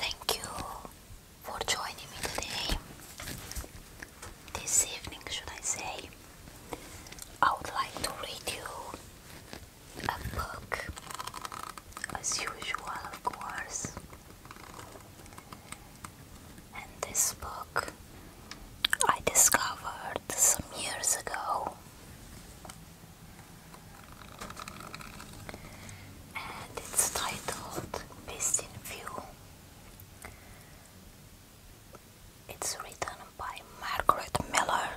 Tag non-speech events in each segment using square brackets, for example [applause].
Thank you for joining me today. This evening, should I say, I would like to read you a book, as usual, of course. And this book I discovered some years ago, and it's titled Beast View. It's written by Margaret Miller.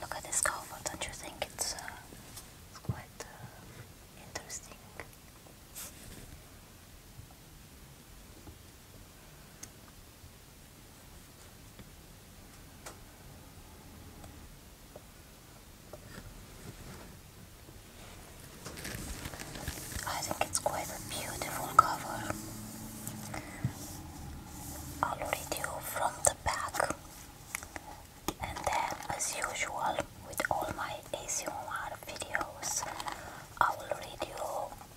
Look at this cover, don't you think it's uh, quite uh, interesting. I think it's quite a beautiful cover. I'll read you from the back and then as usual with all my ASMR videos I will read you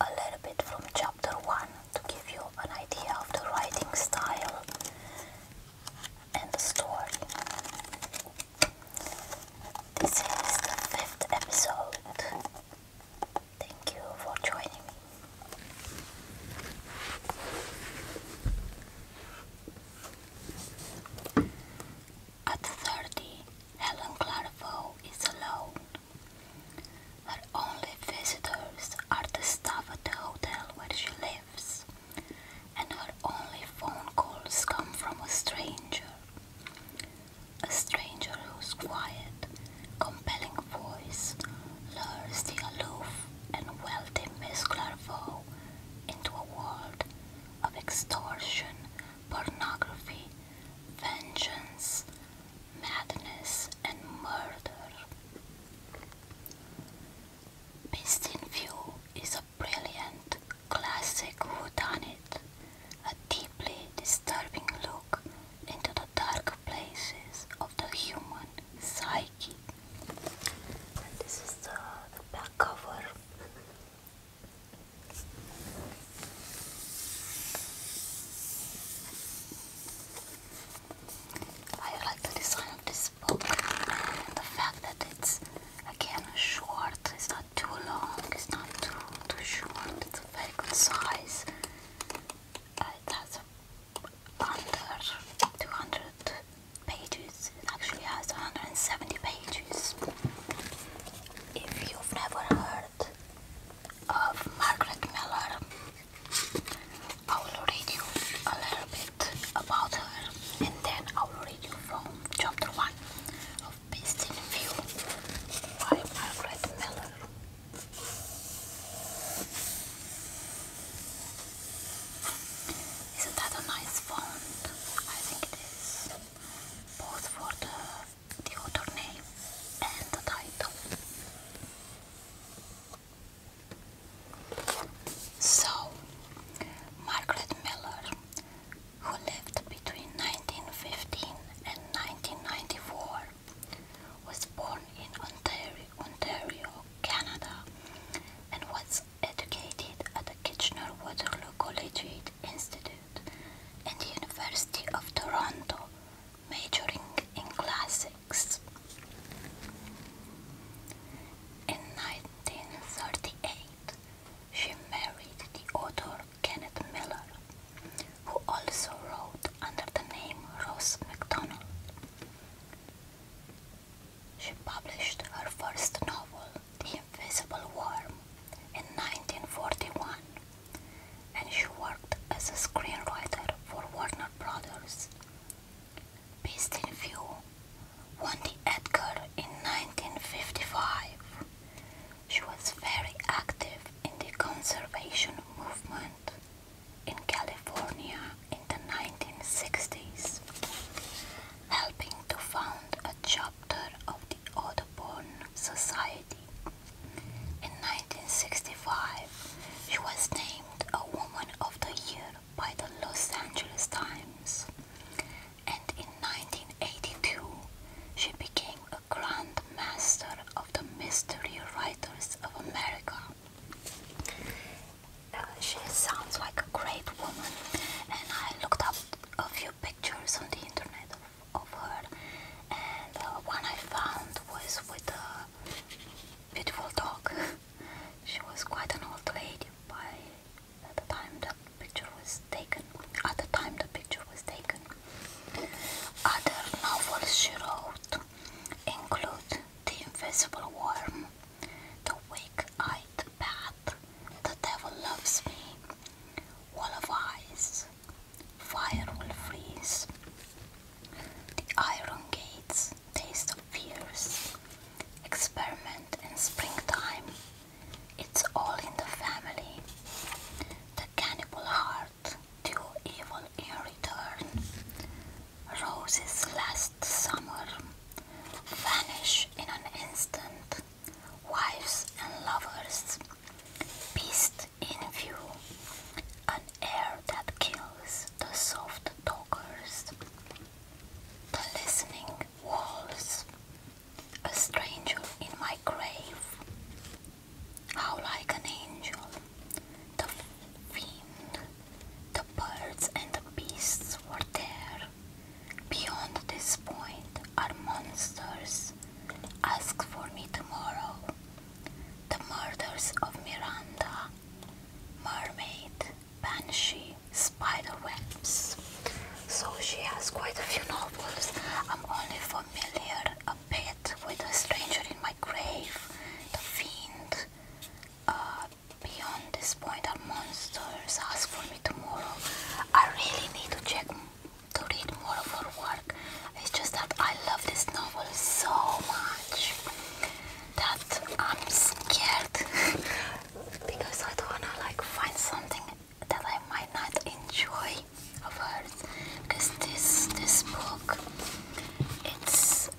a little bit from chapter 1 to give you an idea of the writing style and the story. This is the fifth episode. Thank you for joining me. At 30, Helen Clairvaux is alone. Her only visitors are the staff at the hotel where she lives, and her only phone calls come from a stranger. A stranger whose quiet, compelling voice lures the aloof and wealthy Miss Clairvaux into a world of extortion, pornography, vengeance, madness, and murder. Beast is a brilliant, classic whodunit, a deeply disturbing look into the dark places of the human psyche this is the, back cover. I like the design of this book the fact that it's again short, it's not too long, it's not too too short, it's a very good size. Uh, it has a under 200 pages. It actually has 170 pages. If you've never heard of Margaret Miller, I will read you a little bit about her and then I will read you from chapter 1 of Beast in View by Margaret Miller. Isn't that a nice font? I think it is. Both for the, the author name and the title. So, Margaret Miller, who lived between 1915 and 1994, was born in Ontario, Ontario, Canada, and was educated at the Kitchener-Waterloo Collegiate Institute and the University of Toronto, majoring in classics. In 1938, she married the author Kenneth Miller, who also wrote under the name Rose MacDonald. She published her first novel, The Invisible Worm, in 1941, and she worked as a screenwriter for Warner Brothers. Beast in View won the Edgar in 1955. She was very active in the conservation movement in California in the 1960s, helping to found a chapter of the Audubon Society. In 1965, she was named a Woman of the Year by the Los Angeles Times, and in 1982, she became a Grand Master of the Mystery Writers of America. Uh, she sounds like a great woman, and I looked up a few pictures on the internet of, of her, and the uh, one I found was with a beautiful dog. [laughs] she was quite an old lady by the time that picture was taken. At the time the picture was taken. Other novels she wrote include the invisible worm, the weak-eyed bat, the devil loves me, wall of ice, fire will freeze, the iron gates, taste of fears, experiment in springtime, it's all in the family, the cannibal heart, do evil in return, roses last summer vanish in an instant, wives and lovers, beast in view, an air that kills the soft talkers, the listening walls, a stranger in my grave, how like an angel, the fiend the birds and the beasts were there. Beyond this point are monsters. Ask for me tomorrow. The murders of Miranda, Mermaid, Banshee, Spiderwebs. So she has quite a few novels. I'm only familiar a bit with A Stranger in My Grave, The Fiend, uh, beyond this point are monsters. Ask for me tomorrow. I really need to check to read more of work. It's just that I love this novel so much that I'm scared [laughs] because I don't wanna like find something that I might not enjoy of hers. Because this this book, it's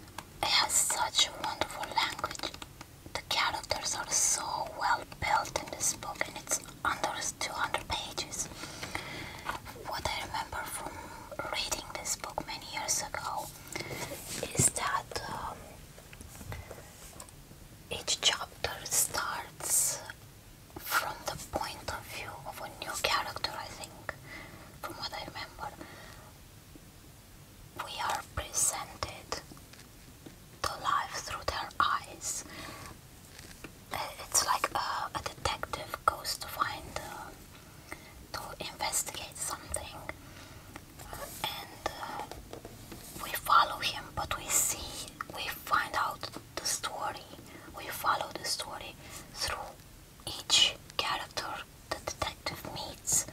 it has such a wonderful language. The characters are so well built in this book, and it's under 200 pages. What I remember from reading this book many years ago is that um, each chapter starts from the point of view of a new character, I think, from what I remember we are presented to life through their eyes. Uh, it's like a, detective goes to find, uh, to investigate something, and uh, we follow him, but we see, we find out the story, we follow the story through each character the detective meets,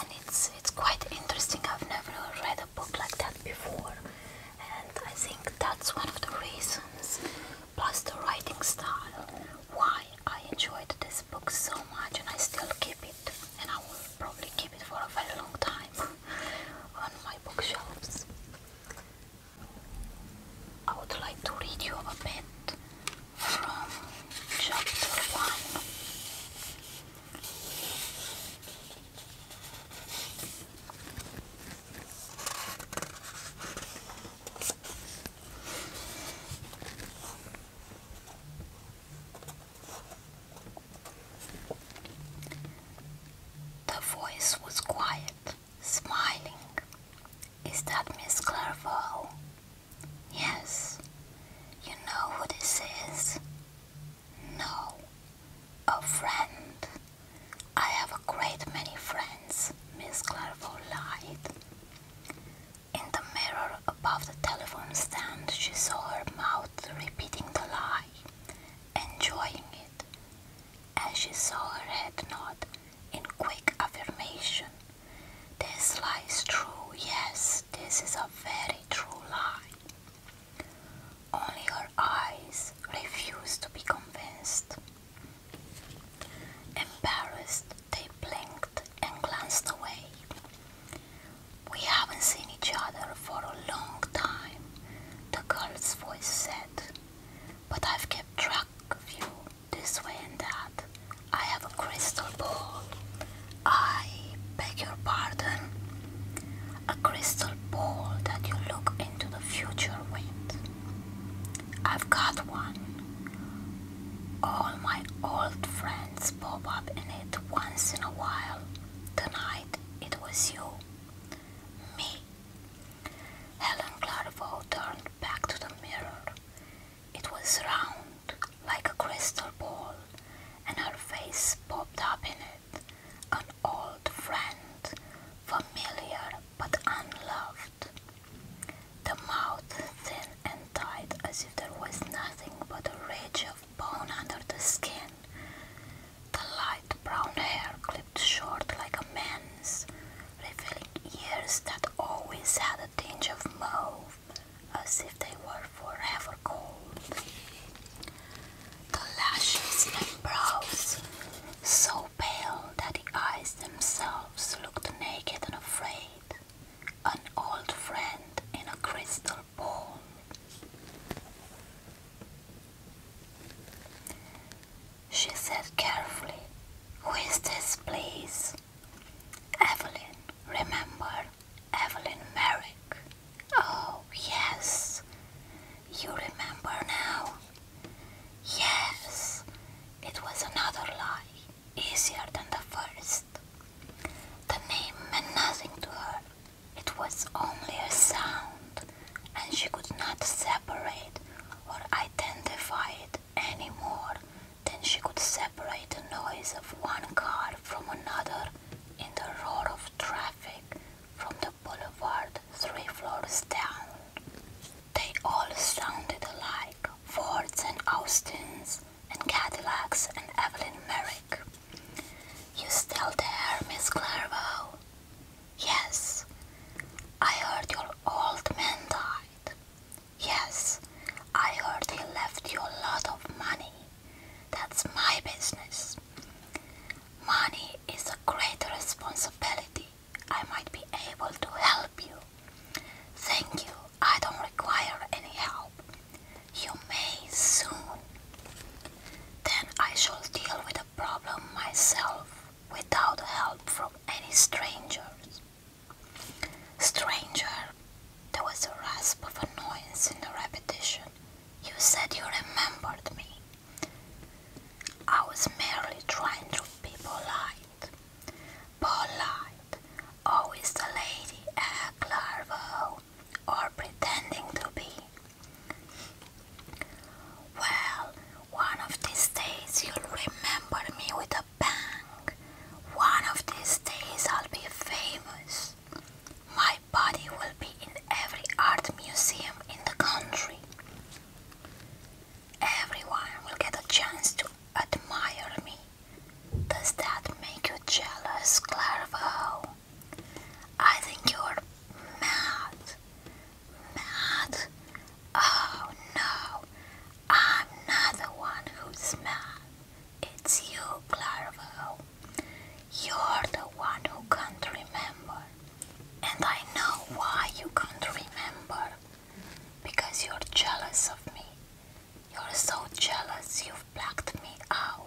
and it's it's quite interesting. I've never read a book like that before, and I think that's one of the reasons, plus the writing style, why I enjoyed this book so much, and I still keep it, and I will probably keep it for a very long time [laughs] on my bookshelves. I would like to read you a bit from chapter 1. The voice was quiet, smiling. Is that Miss Clerval? Yes. You know who this is? No. A friend. I have a great many friends, Miss Clairvaux lied. In the mirror above the telephone stand, she saw her mouth repeating the lie, enjoying it. As she saw her head nod, in quick affirmation. This lies true, yes, this is a very true lie. Only her eyes refused to be convinced. Embarrassed, they blinked and glanced away. We haven't seen each other for a long time, the girl's voice said, but I've kept track of you this way and that. I have a crystal ball. I beg your pardon. A crystal ball that you look into the future with. I've got one. All my old friends pop up in it once in a while. Tonight it was you. Me. Helen Clarvaux turned back to the mirror. It was round, like a crystal ball, and her face popped up in it, an old friend, familiar but unloved. The mouth thin and tight as if there was nothing but a ridge of bone under the skin. The light brown hair clipped short like a man's, revealing ears that always had a tinge of mauve, as if they were forever cold. The lashes and brows, so pale that the eyes themselves looked naked and afraid, an old friend in a crystal ball she said carefully. Who is this, please? Evelyn, remember? Evelyn Merrick. Oh, yes. You remember now? Yes. It was another lie, easier than the first. The name meant nothing to her. It was only a sound, and she could not separate or identify it any more than she could separate the noise of one car from another in the roar of traffic from the boulevard three floors down. They all sounded alike Fords and Austins and Cadillacs and Evelyn Merrick. You still there, Miss Clairvaux? Yes. I heard your old man died. Yes, I heard he left you a lot of money. That's my business. Money is a great responsibility. I might be able to help you. Thank you. I don't require any help. You may soon. Then I shall deal with the problem myself without help from any strangers. Stranger, there was a rasp of annoyance in the repetition. You said you remembered me. I was merely trying to be polite. Polite, always the lady act larval or pretending to be. Well, one of these days you'll remember me with a bang. One of these days I'll be famous. My body will be in every art museum in the country. Everyone will get a chance to admire me. Does that make you jealous, Clairvaux? I think you're mad. Mad? Oh no, I'm not the one who's mad. It's you, Clarvo. You're the one who can't remember. And I know why you can't remember. Because you're jealous of me. You're so jealous you've blocked me out.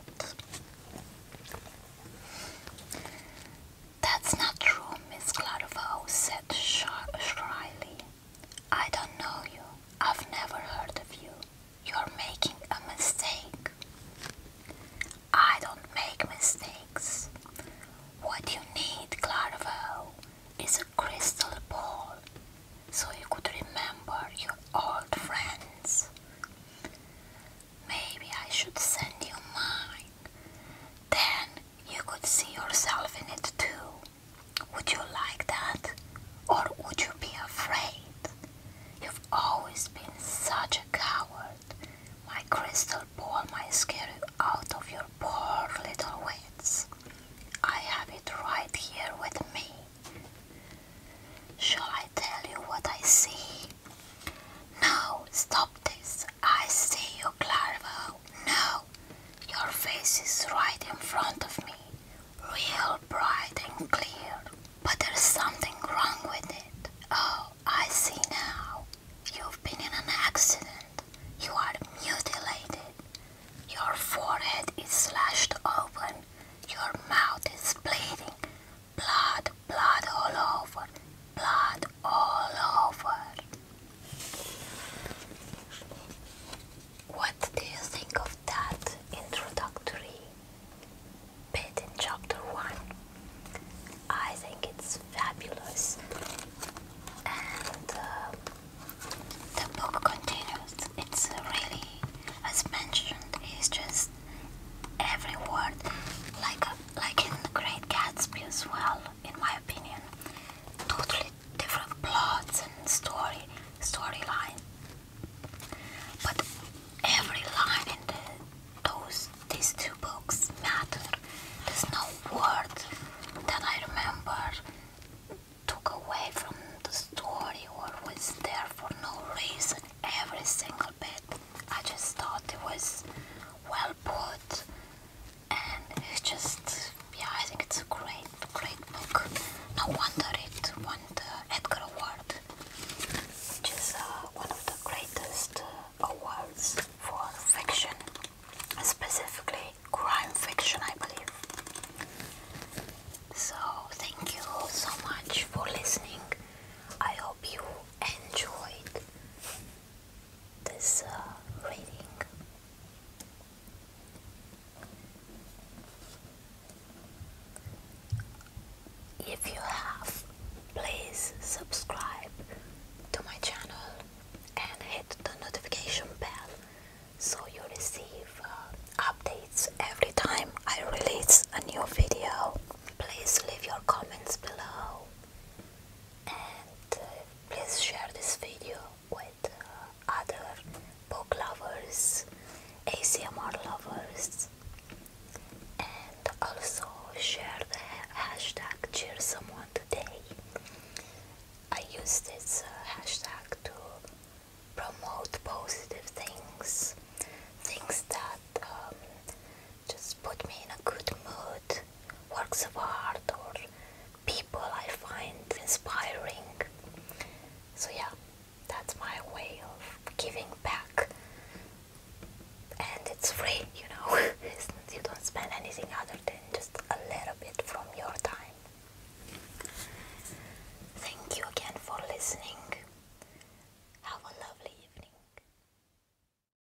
That's not true, Miss Clairvaux, said Shriley. I don't know you. I've never heard of you. You're making a mistake. I don't make mistakes. What you need, Clairvaux, is a crystal ball so you could remember your old friends. Maybe I should send you mine. Then you could see yourself in it too. Would you like that? Or would you be afraid? You've always been such a coward. My crystal ball might scare you out of your poor little wits. I have it right here with me. Shall I tell you what I see? No, stop this. I see you, Clara. No, your face is right in front of me, real bright and clear. But there's something wrong with it. Oh, I see now. You've been in an accident. You are mutilated. Your forehead is slashed open. Your mouth is bleeding. Blood, blood all over. Blood all over. What do you think of that introductory bit in chapter 1? I think it's fabulous. And uh, the book continues. It's really, as mentioned, it's just every word, like, like in The Great Gatsby as well in my opinion. Totally different plots and story storyline. But every line in the, those these two books matter. There's no word that I remember took away from the story or was there for no reason. Every single bit. I just thought it was well put and it's just yeah I think it's a great great book. No wonder it won the Edgar Award, which is uh, one of the greatest uh, awards for fiction, specifically crime fiction, I believe. So thank you so much for listening. I hope you enjoyed this uh, reading. If you have, please subscribe to my channel and hit the notification bell so you receive uh, updates every time I release a new video. Please leave your comments below and uh, please share this video with uh, other book lovers, ACMR lovers and also share the hashtag cheer someone today. I use this uh, hashtag to promote positive things, things that um, just put me in a good mood, works of art or people I find inspiring. So, yeah, that's my way of giving back. And it's free, you know, [laughs] you don't spend anything other than just a little bit from your time. Thank you again for listening. Have a lovely evening.